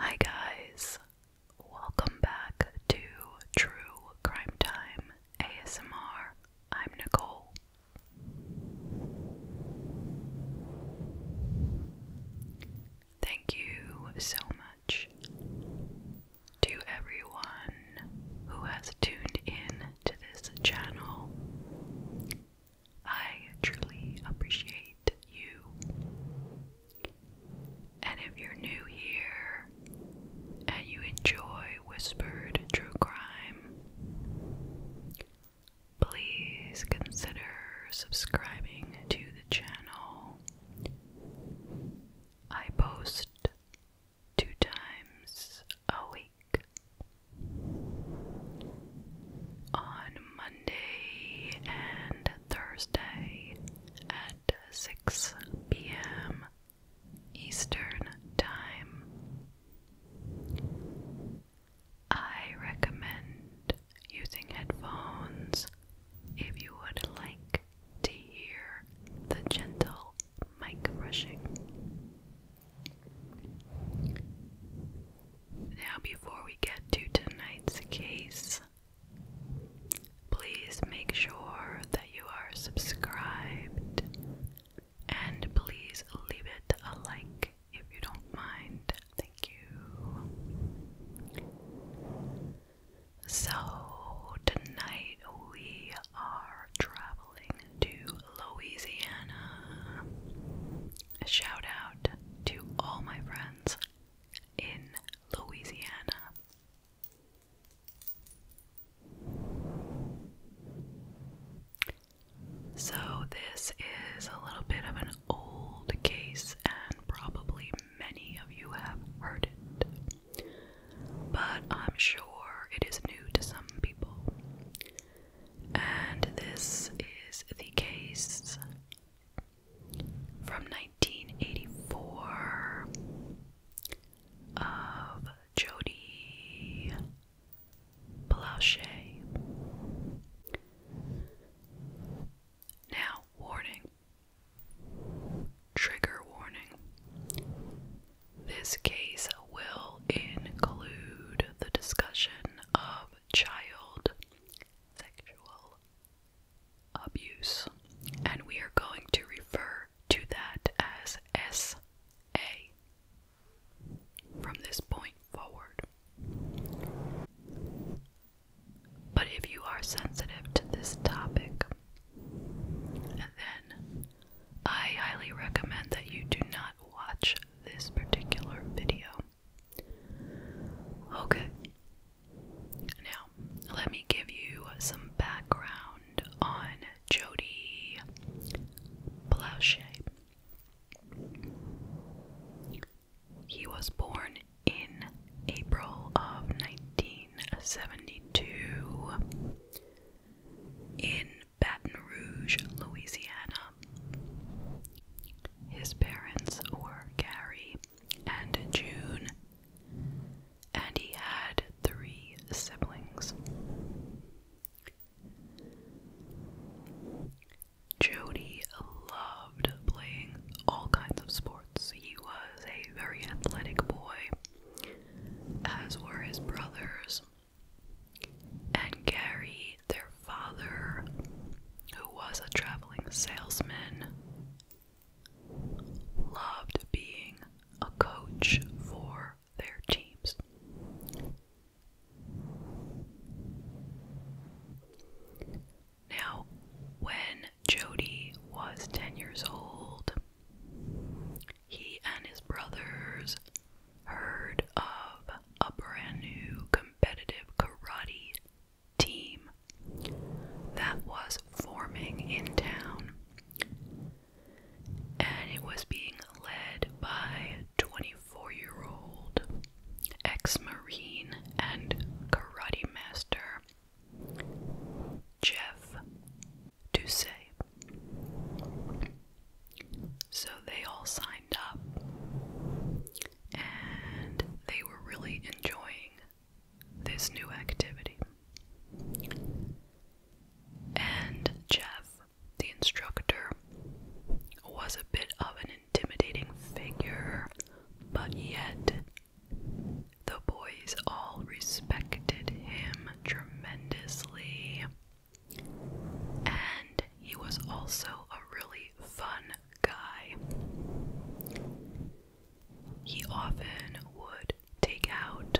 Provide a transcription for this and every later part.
Hi, guys, welcome back to True Crime Time ASMR. I'm Nicole. Thank you so much to everyone who has tuned in to this channel. I truly appreciate you. And if you're new here and you enjoy whispered true crime, please consider subscribing to the channel. I post two times a week. On Monday and Thursday at 6 p.m. Eastern Time. I recommend using headphones if you would like to hear the gentle mic brushing. Now, before we get to tonight's case, please make sure that you are subscribed and please leave it a like if you don't mind. Thank you. So, tonight we are traveling to Louisiana. shout out to all my friends in Louisiana. So, this is a little bit of an old case, and probably many of you have heard it but I'm sure it is new to some people. And this is the case from 1984 of Jody Blanchet. Now, warning Trigger warning. This case will include the discussion of child sexual abuse, and we are going to refer to that as S.A. from this point forward. But if you are sensitive to this topic, then I highly recommend that you do not watch this particular video. Okay. Now, let me give you some background on Jodi Blanchet. He was born in April of 1972 in Baton Rouge, Louisiana. His parents were Gary and June, and he had three siblings. Jody loved playing all kinds of sports. He was a very athletic boy, as were his brothers. And Gary, their father, who was a traveling salesman, loved being a coach for their teams. Now, when Jody was 10 years old, he and his brothers heard of a brand new competitive karate team that was forming in town. And it was being led by 24 year old ex Marine and karate master Jeff say. So they all signed up and they were really enjoying this new activity. And Jeff, the instructor, was a bit of an intimidating figure, but yet the boys all respected him tremendously. And he was also a really fun guy. He often would take out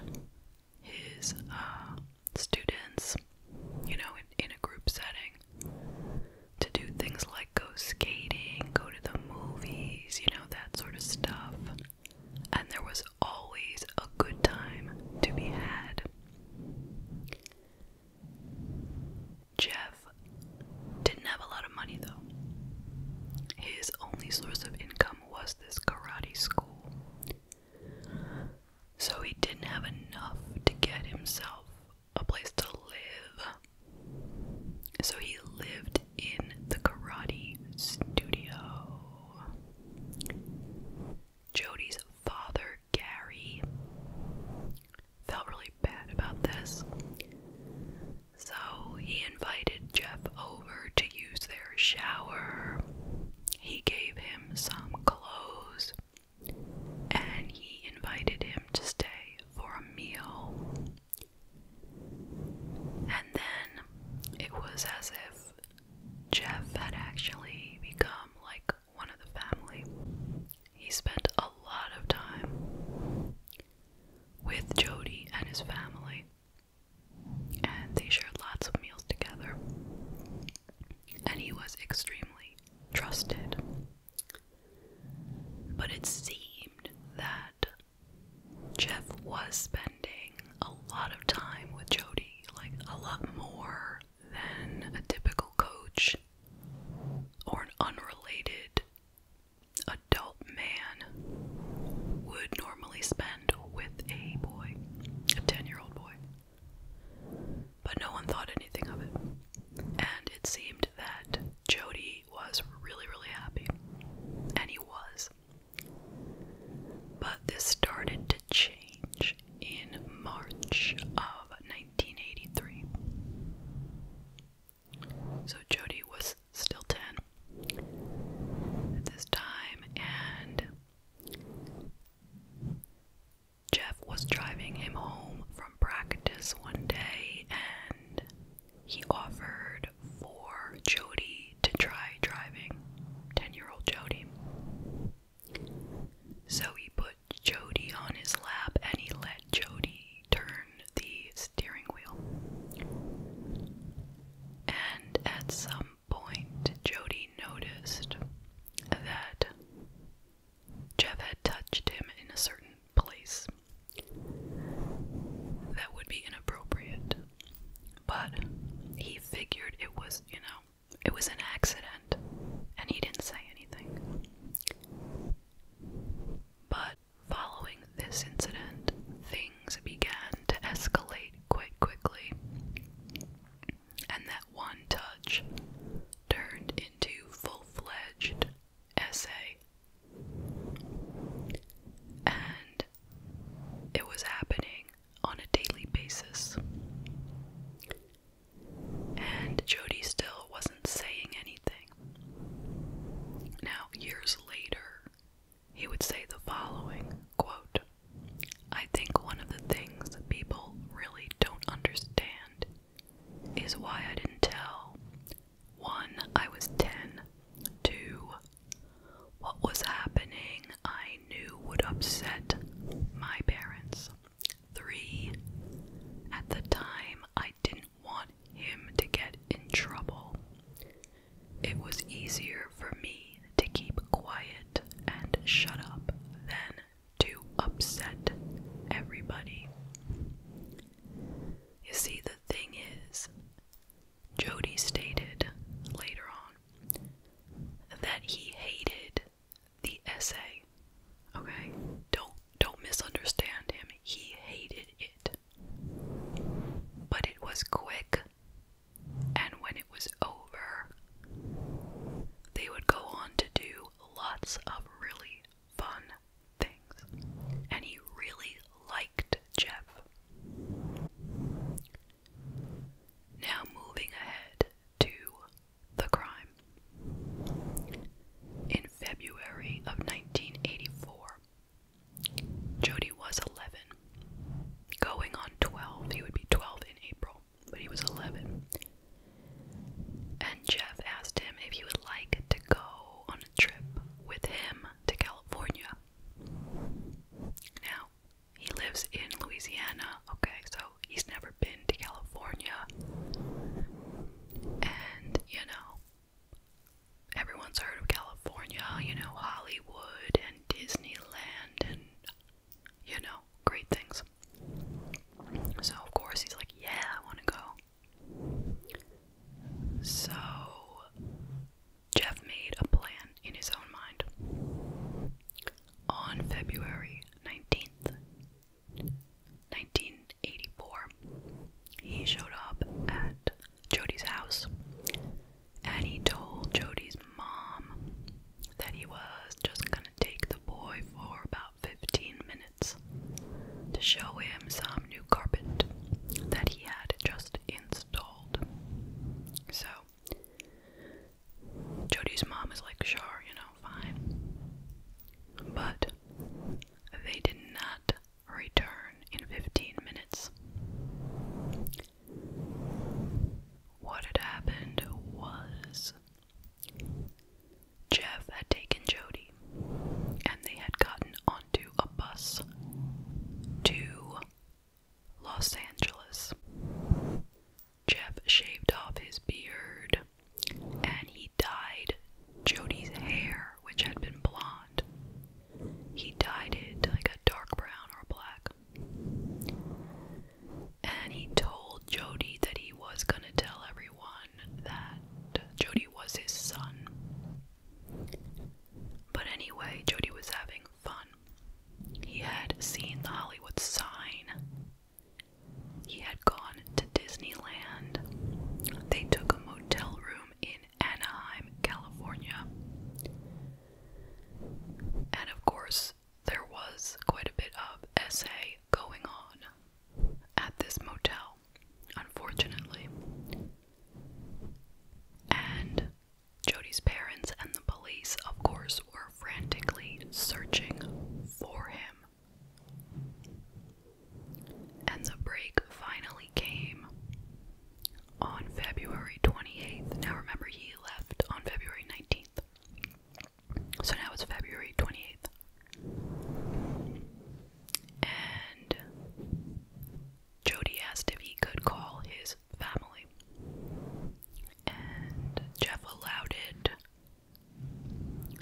his uh, students, you know, in, a group setting to do things like go skating, go to the movies, you know that sort of stuff. And there was always a good time to be had. Jeff didn't have a lot of money though. His only source of income was this karate school. So he didn't have enough to get himself a place to live so he lived in the karate studio. Jody's father, Gary, felt really bad about this. So he invited Jeff over to use their shower. He gave him some clothes and he invited him to stay for a meal. And then it was as if Jeff had actually become like one of the family. He spent a lot of time with Jody and his family, and they shared lots of meals together. And he was extremely trusted but it seemed that Jeff was spending a lot of time with Jody, like a lot more than a typical coach or an unrelated adult man would normally spend with a boy, a 10 year old boy. But no one thought anything of it. And it seemed that Jody was really, really happy. And he was. But this started to change in March of 1983. So Jody was still 10 at this time, and Jeff was driving him home from practice one day, and he offered for Jody to try driving, 10 year old Jody. So he put Jody on his lap and he let Jody turn the steering wheel. And at some point, Jody noticed that Jeff had touched him in a certain place that would be inappropriate. But he figured it was, you know, it was an accident, and he didn't say anything. But following this incident, things began to escalate quite quickly, and that one touch turned into full fledged essay. And it was happening on a daily basis. And Jody still wasn't saying anything. Now, years later, he would say the following quote, I think one of the things that people really don't understand is why I didn't tell. One, I was 10. Two, what was happening I knew would upset my parents. Three, at the time I didn't want him to get in trouble. It was easier for me to keep quiet and shut up than to upset everybody. You see, the thing is, Jody stated later on that he hated the essay. Okay? Don't don't misunderstand him. He hated it. But it was quick and when it was over, they would go on to do lots of really fun things. And he really liked Jeff. Now, moving ahead to the crime. In February of 1984, Jody was 11. Going on 12, he would be 12 in April, but he was 11. And Jeff asked him if he would like to go on a trip with him to California. Now, he lives in Louisiana, okay, so he's never been to California. And, you know, everyone's heard of California, you know, Hollywood and Disneyland and, you know, great things. So, of course, he's like, Yeah, I want to go. So, Jeff made a plan in his own mind. On February 19th, 1984, he showed up at Jody's house and he told Jody's mom that he was just gonna take the boy for about 15 minutes to show him some new carpet that he had just installed. So, Jody's mom is like, sure, you know, fine. But they did not return in 15 minutes. What had happened was Jeff had taken Jody, and they had gotten onto a bus to Los Angeles. Jeff shaved off his beard and he dyed Jody's hair, which had been blonde. He dyed it like a dark brown or black. And he told Jody that he was gonna tell everyone that Jody was his son. But anyway, Jody was having fun. He had seen the Hollywood sign. He had gone to Disneyland. They took a motel room in Anaheim, California. And of course, there was quite a bit of essay going on at this motel, unfortunately. And Jody's parents and the police, of course, were frantically searching for him. And the break finally came on February 28th. Now remember, he left on February 19th. So now it's February 28th. And Jody asked if he could call his family. And Jeff allowed it.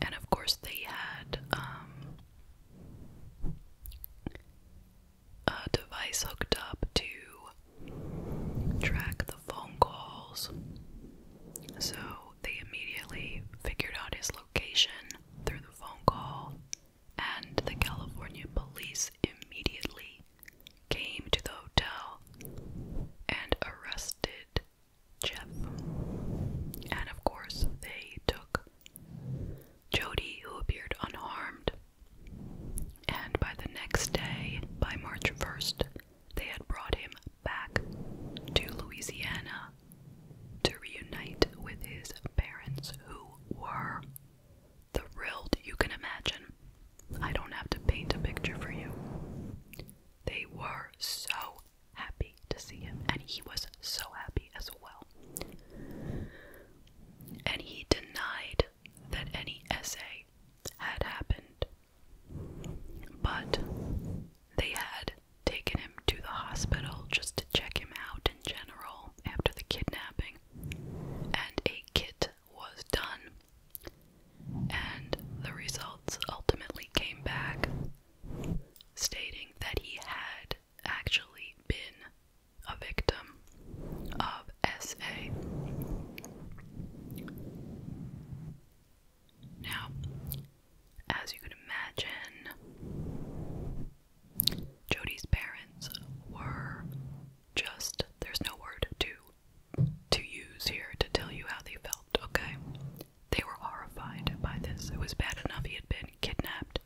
And of course, they had um, a device hooked up to track the phone calls. So they immediately figured out his location through the phone call, and the California police immediately came to the hotel and arrested Jeff. And of course, they took Jody, who appeared unharmed. And by the next day, by March 1st, they had brought him back to Louisiana to reunite with his parents, who were thrilled, you can imagine. I don't have to paint a picture for you. They were so happy to see him, and he was so happy as well. And he denied that any essay had happened but they had taken him to the hospital just to check him out in general after the kidnapping, and a kit was done. And the results ultimately came back stating that he had actually been a victim of SA. Now, as you can imagine, Jody's parents were just there's no word to to use here to tell you how they felt, okay? They were horrified by this. It was bad enough he had been kidnapped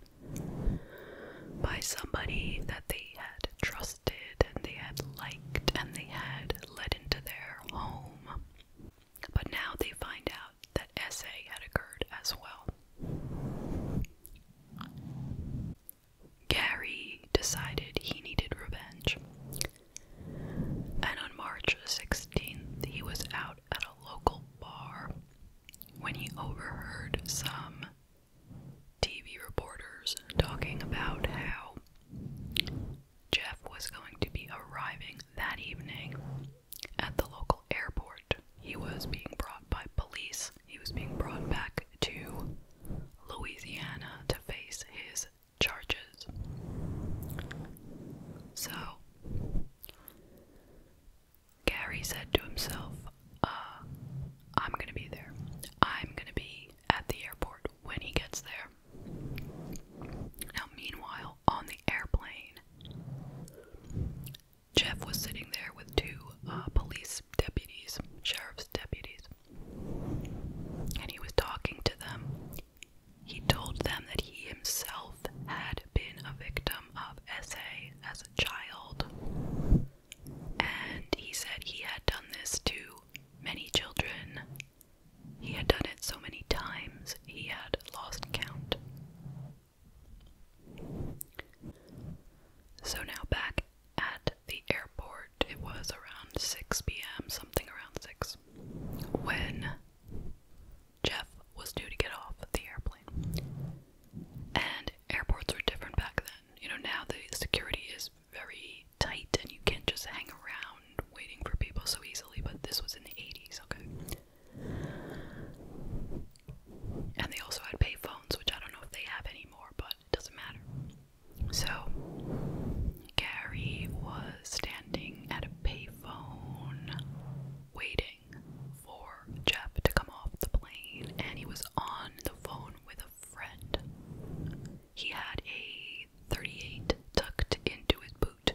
by somebody that they had trusted and they had liked and they had led into their home. But now they find out that SA had occurred as well. Gary decided he needed revenge. And on March 16th, he was out at a local bar when he overheard some TV reporters talking about how Jeff was going to be arriving that evening at the local airport. He was being brought by police. He was being brought back to Louisiana to face his charges. So, Gary said to himself, uh, I'm gonna be there. I'm gonna be at the airport when he gets there. Now, meanwhile, on the airplane, Jeff was sitting there with two uh, police deputies, sheriff's deputies, and he was talking to them. He told them that he himself had been a victim of SA as a child, and he said he had done this to many children he had done it so many times he had lost count. So now back at the airport, it was around 6 p.m., something around 6, when Jeff was due to get off the airplane. And airports were different back then. You know, now the security is very tight and you can't just hang around waiting for people so easily, but this was in the 80s, okay? And they also had payphones, which I don't know if they have anymore, but it doesn't matter. So, Gary was standing at a payphone waiting for Jeff to come off the plane, and he was on the phone with a friend. He had a 38 tucked into his boot.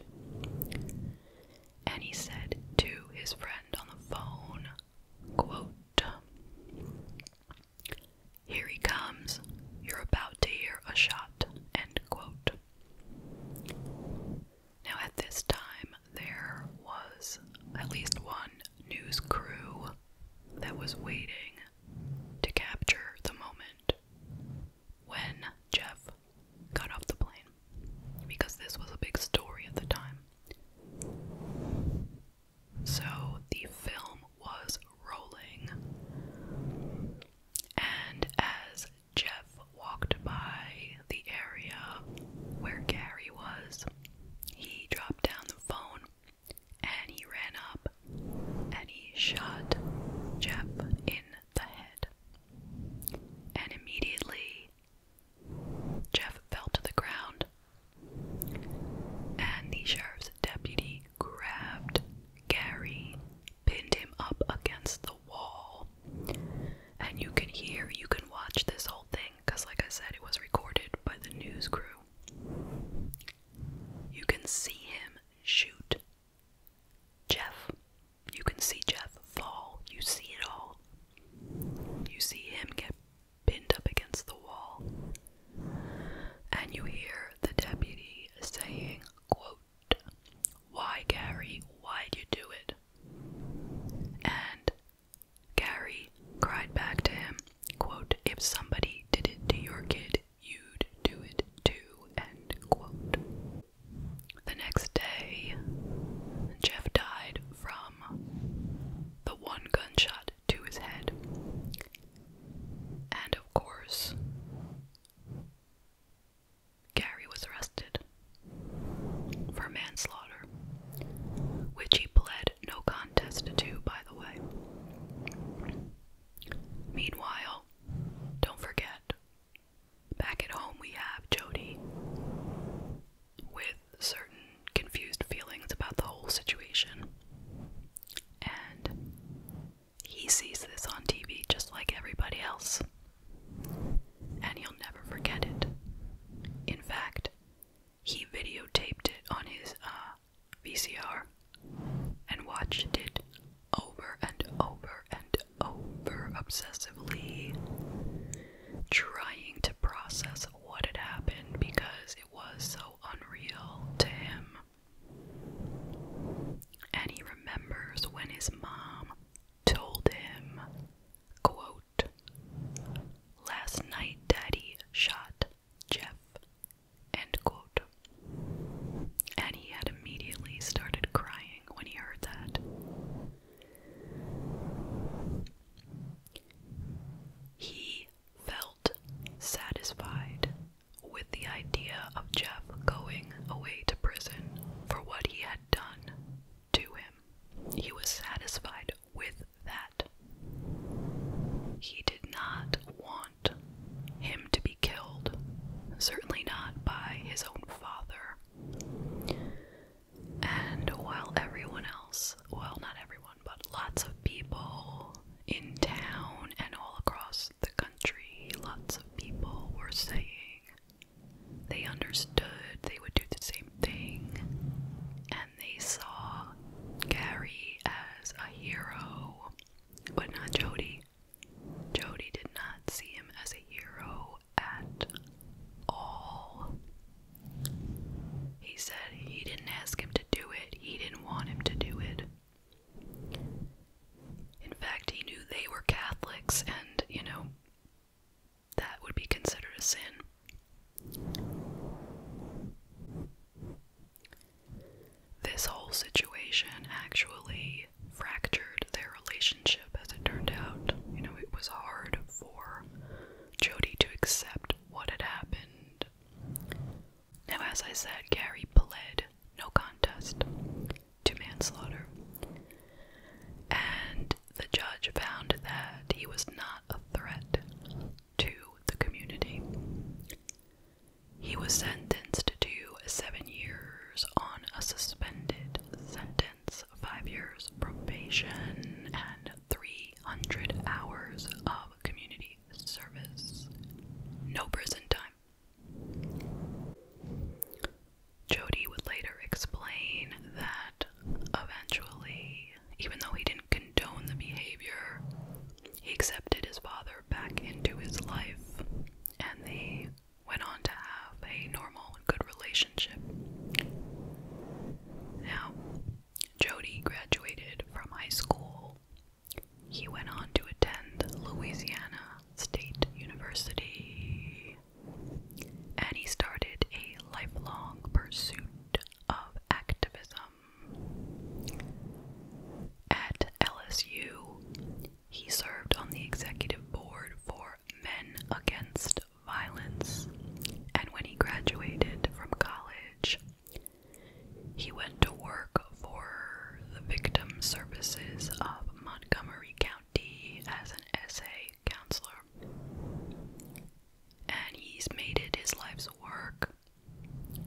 And he said to his friend on the phone, quote, Here he comes. You're about to hear a shot. End quote. Now, at this time, there was at least one news crew that was waiting to capture the moment when Jeff got off the plane because this was a big story at the time. So the film was rolling, and as Jeff walked by the area where Gary was, he dropped down the phone and he ran up and he shot Jeff in the head. And immediately, Jeff fell to the ground, and the sheriff's deputy grabbed Gary, pinned him up against the wall. And you can hear, you can watch this whole thing, because, like I said, it was recorded by the news crew. You can see him shoot. Jeff. You can see Jeff fall. You see it all. You see him get pinned up against the wall. And you hear the deputy saying, quote, Why, Gary? Why'd you do it? And Gary cried back to him, quote, If somebody did it to your kid, you'd do it too, end quote. The next day, Jeff died from the one gunshot to his head. And of course, Gary was arrested for manslaughter, which he pled no contest to, by the way. Meanwhile, don't forget, back at home we have Jody with certain confused feelings about the whole situation. And he sees this on TV just like everybody else. And he'll never forget it. In fact, he videotaped it on his uh, VCR and watched it over and over and over obsessively, trying to process what had happened because it was so unreal to him. And he remembers when his mom told him, quote, Last night daddy shot Jeff. And he had immediately started crying when he heard that. He felt satisfied with the idea of Jeff going away to prison for what he had done to him. He was satisfied with that. He did not want him to be killed, certainly not by his own father. And while everyone else, well, not everyone, but lots of people in town and all across the country, lots of people were saying they understood they would do the same thing, and they saw Gary as a hero but not Jody. Jody did not see him as a hero at all. He said he didn't ask him to do it, he didn't want him to do it. In fact, he knew they were Catholics, and, you know, that would be considered a sin. This whole situation actually fractured their relationship, as it turned out. You know, it was hard for Jody to accept what had happened. Now, as I said, Gary pled no contest to manslaughter, and the judge found that he was not a threat to the community. He was sentenced to seven years on a suspended sentence, five years probation, and 300 hours of community service. No prison time. Jody would later explain that eventually, even though he didn't condone the behavior, he accepted his father back into his life, and they went on to have a normal and good relationship. Now, Jody graduated from high school. He went on to attend Louisiana State University, and he started a lifelong pursuit of activism. At LSU, he served on the executive board for Men Against Violence, and when he graduated from college, he went to work for the Victim Services of Montgomery County as an SA counselor. And he's made it his life's work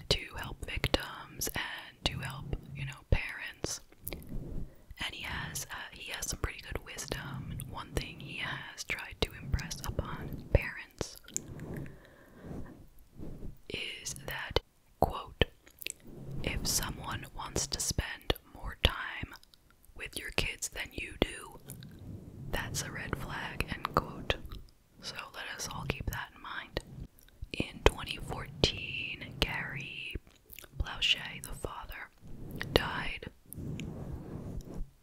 to help victims and to help, you know, parents. And he has uh, he has some pretty good wisdom. one thing he has tried to impress upon parents is that quote if someone wants to spend more time with your kids than you do, that's a red flag, end quote. So let us all keep that in mind. In 2014, Gary Blausche, the father, died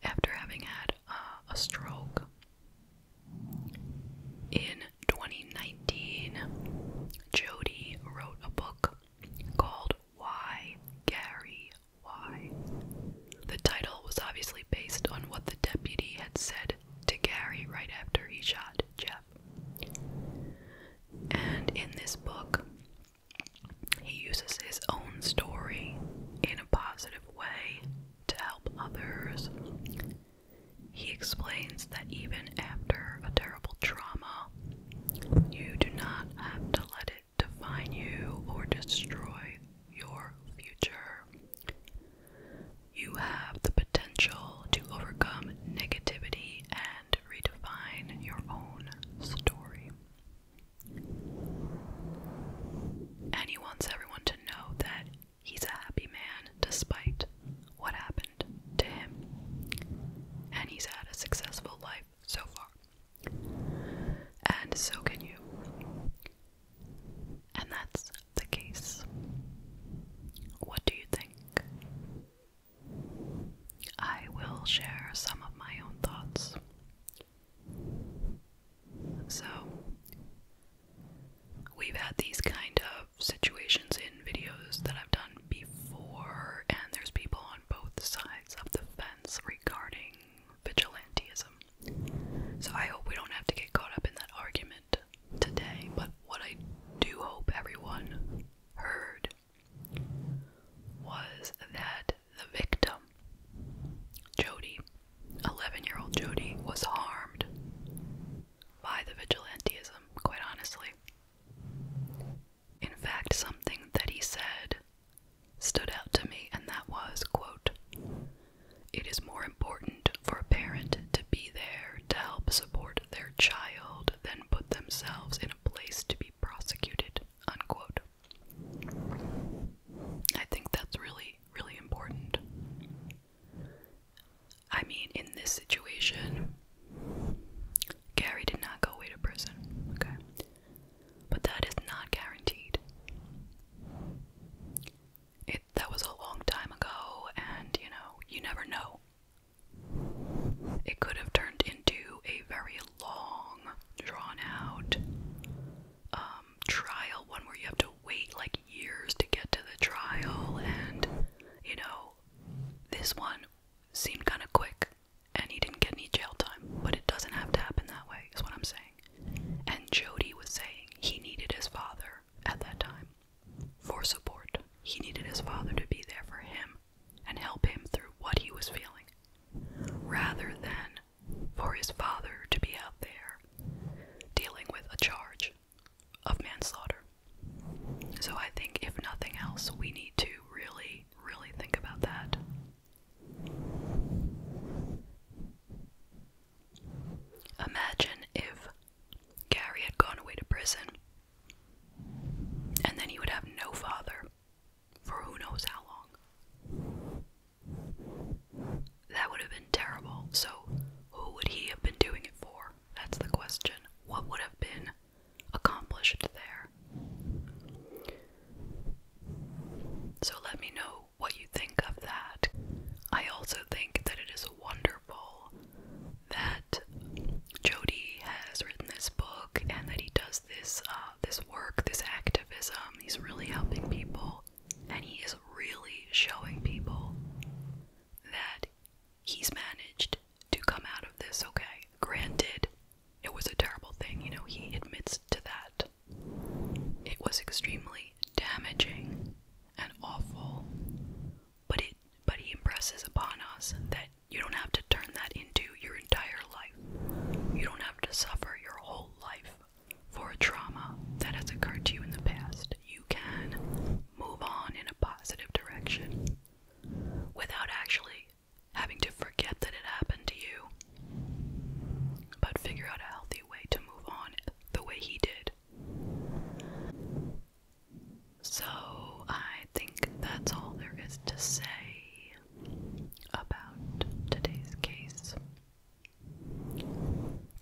after having had uh, a stroke. In 2019, Jody wrote a book called Why Gary Why the title was obviously based on what the deputy had said to Gary right after he shot Jeff. And in this book, he uses his own story in a positive way to help others. He explains that even after a terrible trauma, you do not have to let it define you or destroy your future. You have the potential to overcome negativity and redefine your own story. And he wants everyone to know that he's a happy man despite what happened to him. And he's had a successful life so far. And so can you. And that's the case. What do you think? I will share some of my own thoughts. So, we've had these kind of situations in videos that I've done before, and there's people on both sides of the fence regarding vigilantism. So I hope we don't have to get caught up in that argument today, but what I do hope everyone heard was that the victim, Jody, 11 year old Jody, was harmed by the vigilantism, quite honestly. In fact, something that he said stood out to me, and that was, quote, it is more important for a parent to be there to help support their child than put themselves in a place to be prosecuted, unquote. I think that's really, really important. I mean, in this situation, Gary did not go away to prison, okay? but that is not guaranteed. It that was a long time ago, and you know, you never know. It could have turned into a very long, drawn out um, trial, one where you have to wait like years to get to the trial, and you know, this one seemed kind of quick and he didn't get any jail time, but it doesn't have to happen that way, is what I'm saying. And Jody was saying he needed his father at that time for support. He needed his father to be there for him and help him through what he was feeling, rather than for his father to be out there dealing with a charge of manslaughter. So I think, if nothing else, we need to really, really think about that Imagine if Gary had gone away to prison and then he would have no father for who knows how long. That would have been terrible. So, who would he have been doing it for? That's the question. What would have been accomplished there? So, let me know what you think of that. I also think that it is wonderful that Jody has written this book and that he does this uh, this work, this activism. He's really helping people, and he is really showing people that he's managed to come out of this okay. Granted, it was a terrible thing, you know, he admits to that. It was extremely damaging and awful, but it but he impresses upon us that you don't have to turn that into your entire life. You don't have to suffer your whole life for a trauma that has occurred to you in the past. You can move on in a positive direction without actually having to forget that it happened to you but figure out a healthy way to move on the way he did. So, I think that's all there is to say about today's case.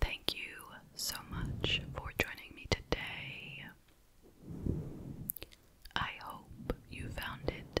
Thank you so much for joining me today. I hope you found it